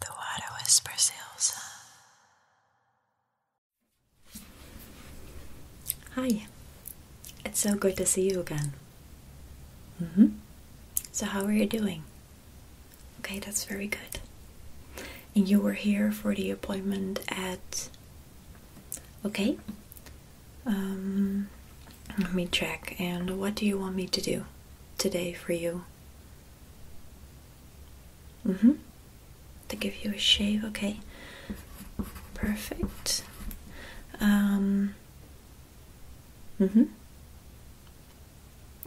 The water whispers Ilsa. Hi, it's so good to see you again. Mm hmm. So, how are you doing? Okay, that's very good. And you were here for the appointment at. Okay. Um, let me check. And what do you want me to do today for you? Mm-hmm. To give you a shave, okay. Perfect. Um. mm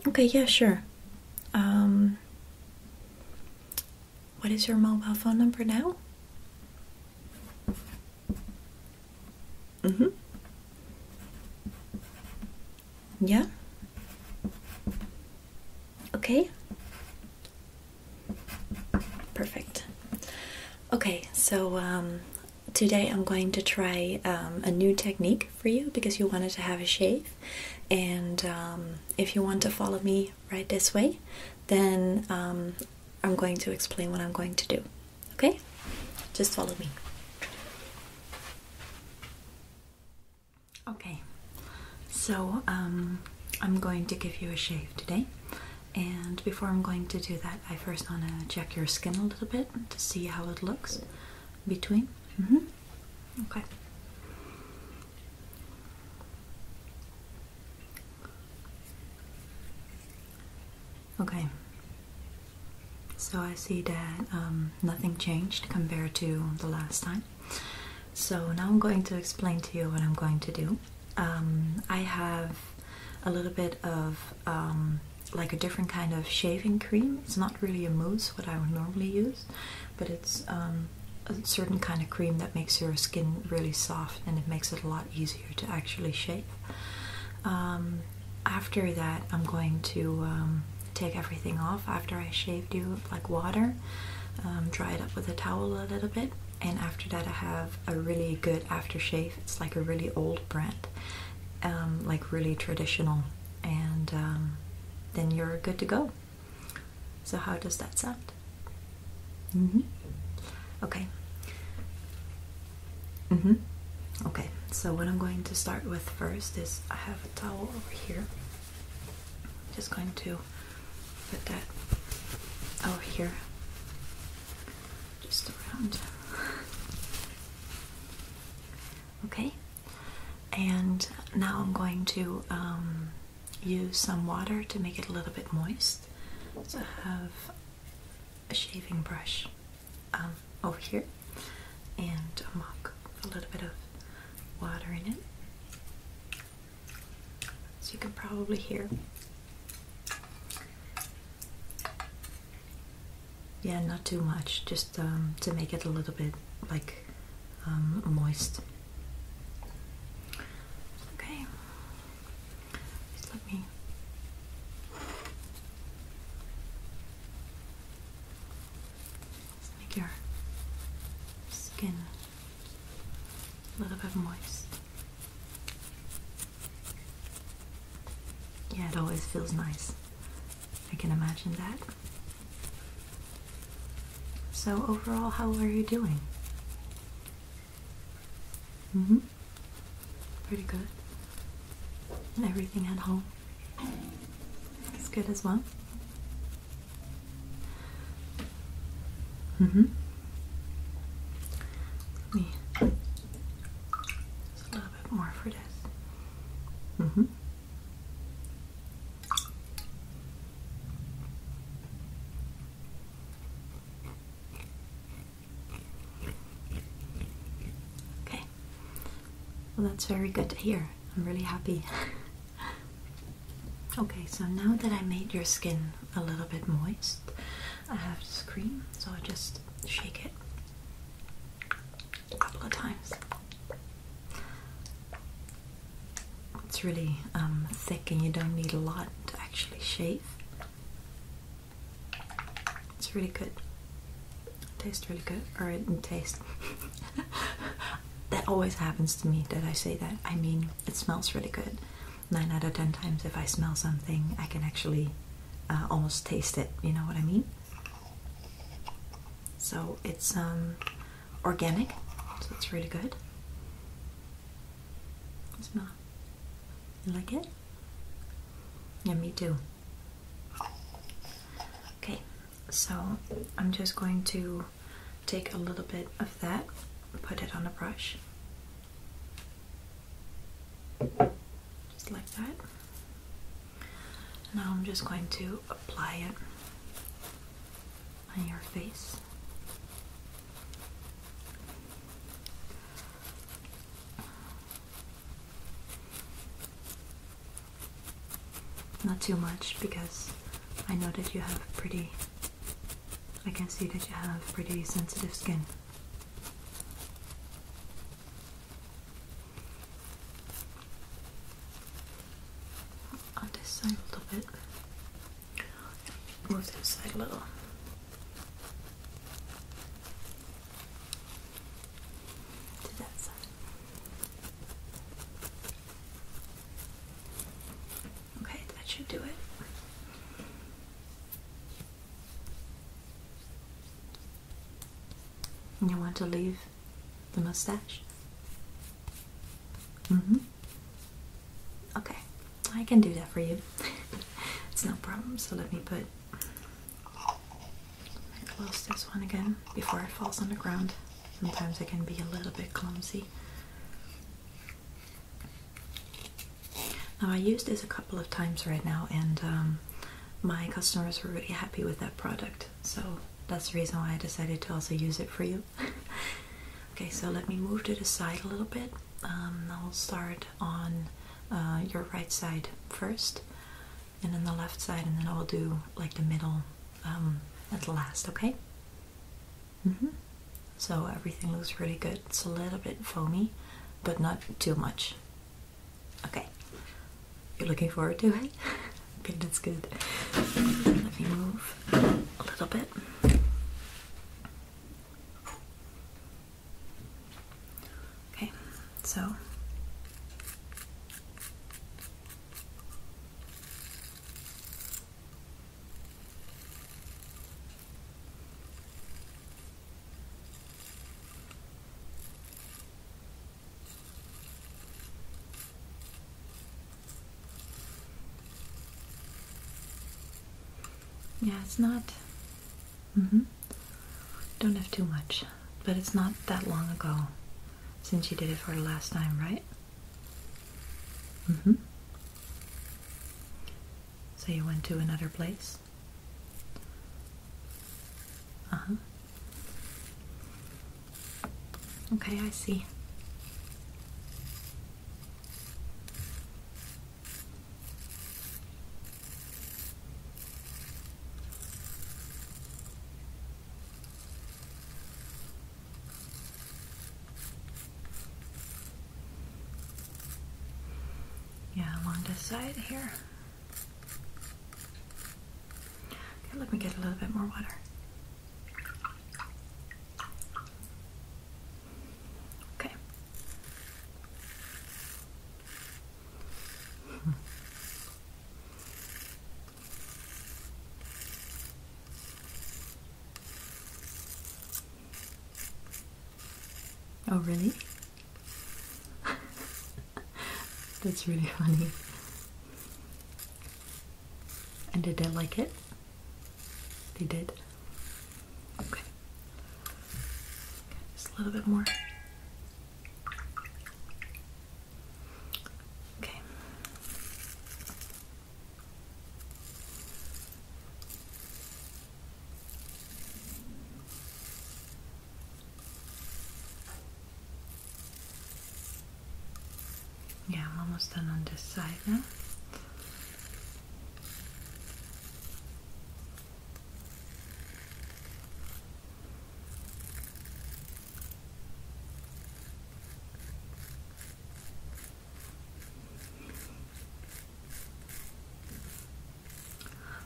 Okay, yeah, sure. Um what is your mobile phone number now? Mm-hmm. Yeah? Okay? Perfect. Okay, so um, today I'm going to try um, a new technique for you because you wanted to have a shave. And um, if you want to follow me right this way, then I'm going to explain what I'm going to do. Okay? Just follow me. Okay, so um, I'm going to give you a shave today. And before I'm going to do that, I first want to check your skin a little bit to see how it looks between. Mm-hmm. Okay. Okay. So I see that um, nothing changed compared to the last time. So now I'm going to explain to you what I'm going to do. Um, I have a little bit of um, like a different kind of shaving cream. It's not really a mousse, what I would normally use, but it's a certain kind of cream that makes your skin really soft and it makes it a lot easier to actually shave after that, I'm going to um, take everything off after I shaved you like water, um, dry it up with a towel a little bit, and after that, I have a really good aftershave. It's like a really old brand, um, like really traditional, and then you're good to go. So, how does that sound? Mm-hmm. Okay. Mm-hmm. Okay, so what I'm going to start with first is I have a towel over here. just going to put that over here. Just around. Okay. And now I'm going to um, use some water to make it a little bit moist. So have a shaving brush um, over here and a mug with a little bit of water in it. So you can probably hear. Yeah, not too much, just um, to make it a little bit like um, moist. Okay, just let me make your skin a little bit moist. Yeah, it always feels nice. I can imagine that. So, overall, how are you doing? Mm hmm pretty good. everything at home is good as well. Mm-hmm. me a little bit more for this. Mm-hmm. Okay. Well, that's very good to hear. I'm really happy. okay, so now that I made your skin a little bit moist, I have this cream, so I just shake it a couple of times. It's really um, thick, and you don't need a lot to actually shave. It's really good. Tastes really good, or it tastes. that always happens to me that I say that. I mean, it smells really good. Nine out of ten times, if I smell something, I can actually uh, almost taste it. You know what I mean? So it's um, organic, so it's really good. Smell. like it? Yeah, me too. Okay, so I'm just going to take a little bit of that, put it on a brush. Just like that. Now I'm just going to apply it on your face. Not too much because I know that you have pretty, I can see that you have pretty sensitive skin. On this side a little bit. Move this a little to that side. Okay, that should do it. You want to leave the mustache? Mm hmm. Okay. I can do that for you. it's no problem. So let me put. close this one again before it falls on the ground. Sometimes I can be a little bit clumsy. Now I used this a couple of times right now, and um, my customers were really happy with that product. So that's the reason why I decided to also use it for you. okay, so let me move to the side a little bit. Um, I'll start on uh, your right side first and then the left side and then I will do like the middle um, at the last okay -hmm. so everything looks really good it's a little bit foamy but not too much okay you're looking forward to it okay that's good let me move a little bit Okay, so yeah, it's not Mm hmm Don't have too much, but it's not that long ago since you did it for the last time, right? Mm hmm So you went to another place? Uh-huh. Okay, I see. Yeah, along this side here. let me get a little bit more water. Okay, Oh, really? That's really funny. And did I like it? They did? Okay. Just a little bit more. Okay. Yeah, I'm almost done on this side now.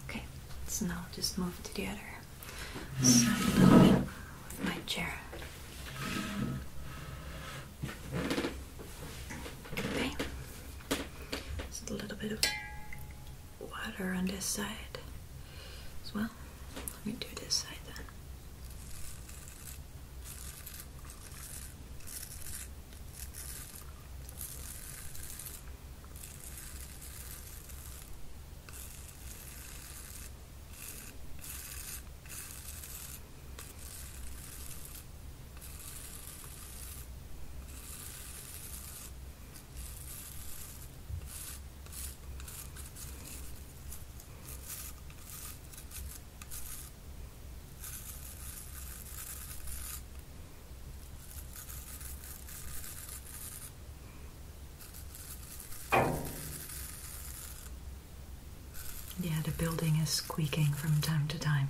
Okay, so now just move to the other side hmm. with my chair. Okay. Just a little bit of water on this side as well. Let me do this side then. Yeah, the building is squeaking from time to time.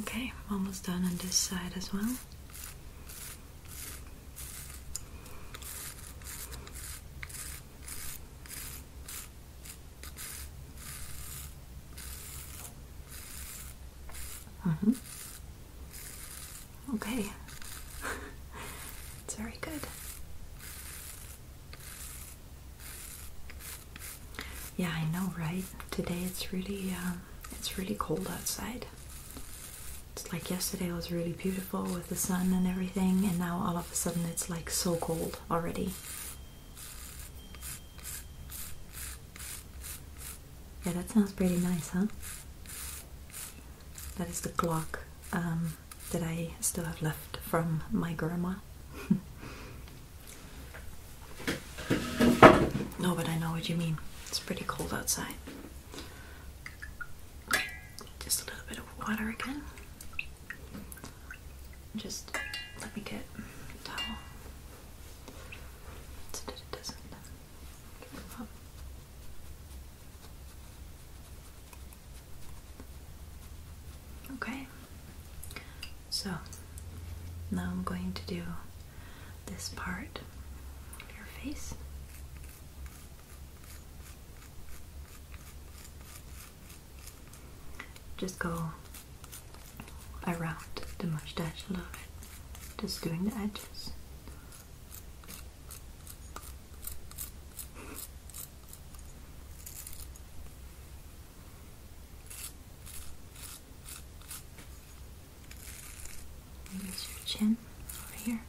Okay, almost done on this side as well. Mm -hmm. Okay, it's very good. Yeah, I know, right? Today it's really, um, it's really cold outside. It's like yesterday was really beautiful with the sun and everything, and now all of a sudden it's like so cold already. Yeah, that sounds pretty nice, huh? That is the clock um, that I still have left from my grandma. No, but I know what you mean. It's pretty cold outside. Just a little bit of water again. Just let me get towel so that it doesn't come up. Okay, so now I'm going to do this part of your face. Just go around the mustache a little bit, just doing the edges. Use your chin over here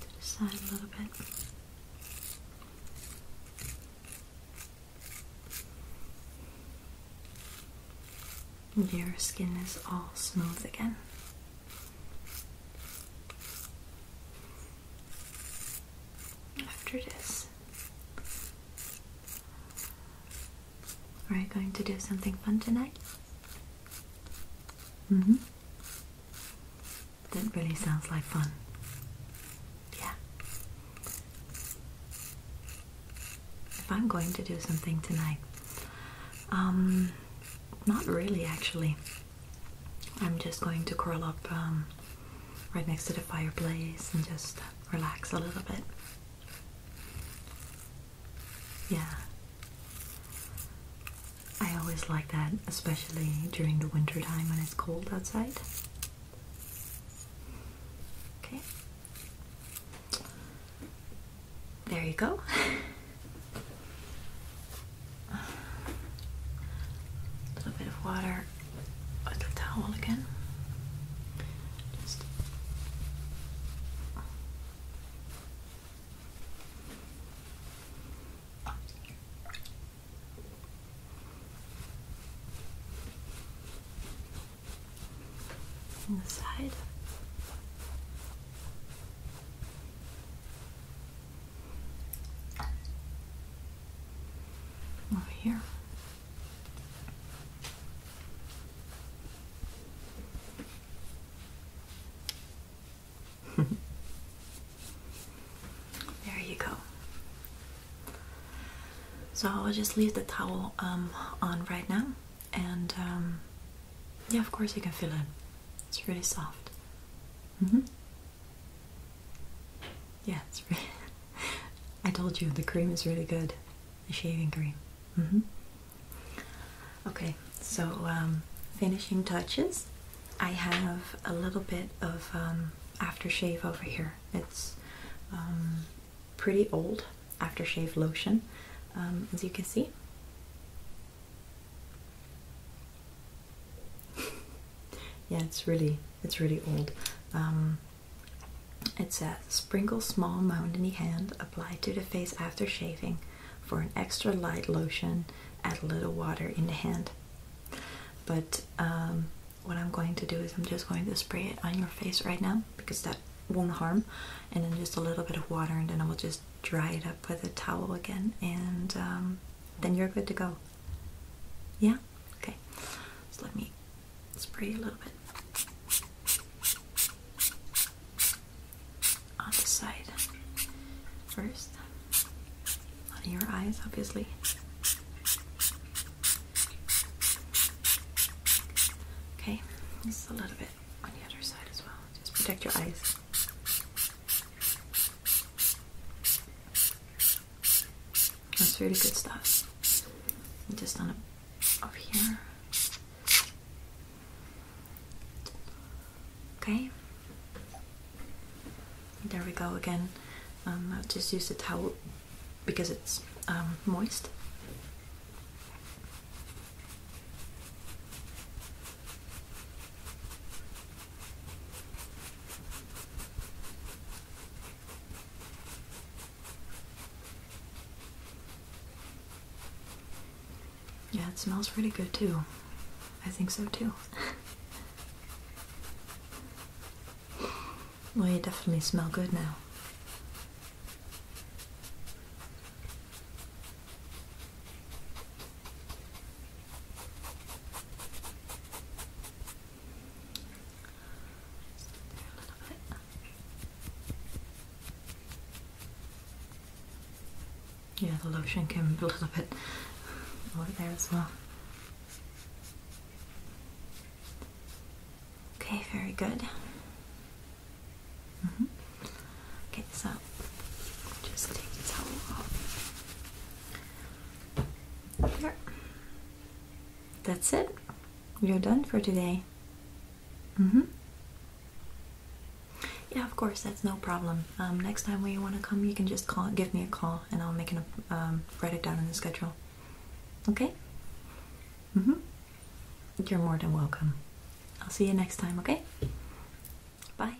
to the side a little bit. Your skin is all smooth again. After this, are you going to do something fun tonight? hmm. That really sounds like fun. Yeah. If I'm going to do something tonight, um, not really actually. I'm just going to curl up um, right next to the fireplace and just uh, relax a little bit. Yeah. I always like that, especially during the winter time when it's cold outside. Okay. There you go. A little bit of water your little towel again. on the side. Over here there you go. So I'll just leave the towel um, on right now, and um, yeah, of course you can feel it. It's really soft. Mm-hmm. Yeah, it's I told you the cream is really good, the shaving cream. Mm-hmm. Okay, so um, finishing touches. I have a little bit of um, aftershave over here. It's um, pretty old aftershave lotion, as you can see. yeah it's really it's really old um, it says sprinkle small mound in the hand apply to the face after shaving for an extra light lotion add a little water in the hand but um, what i'm going to do is i'm just going to spray it on your face right now because that won't harm and then just a little bit of water and then i will just dry it up with a towel again and um, then you're good to go yeah? Okay. let me spray a little bit on the side first. On your eyes, obviously. Okay, just a little bit on the other side as well. Just protect your eyes. That's really good stuff. just on a, up here. Okay. There we go again. Um, I'll just use the towel because it's um, moist. Yeah, it smells pretty good too. I think so too. well, you definitely smell good now. Yeah, the lotion came a little bit over there as well. Okay, very good. Mm-hmm. Okay, so just take the towel off. That's it. We are done for today. Mm-hmm. Yeah, of course, that's no problem. Um, next time when you want to come, you can just call, give me a call, and I'll make an um, write it down in the schedule. Okay. Mm-hmm. You're more than welcome. I'll see you next time. Okay. Bye.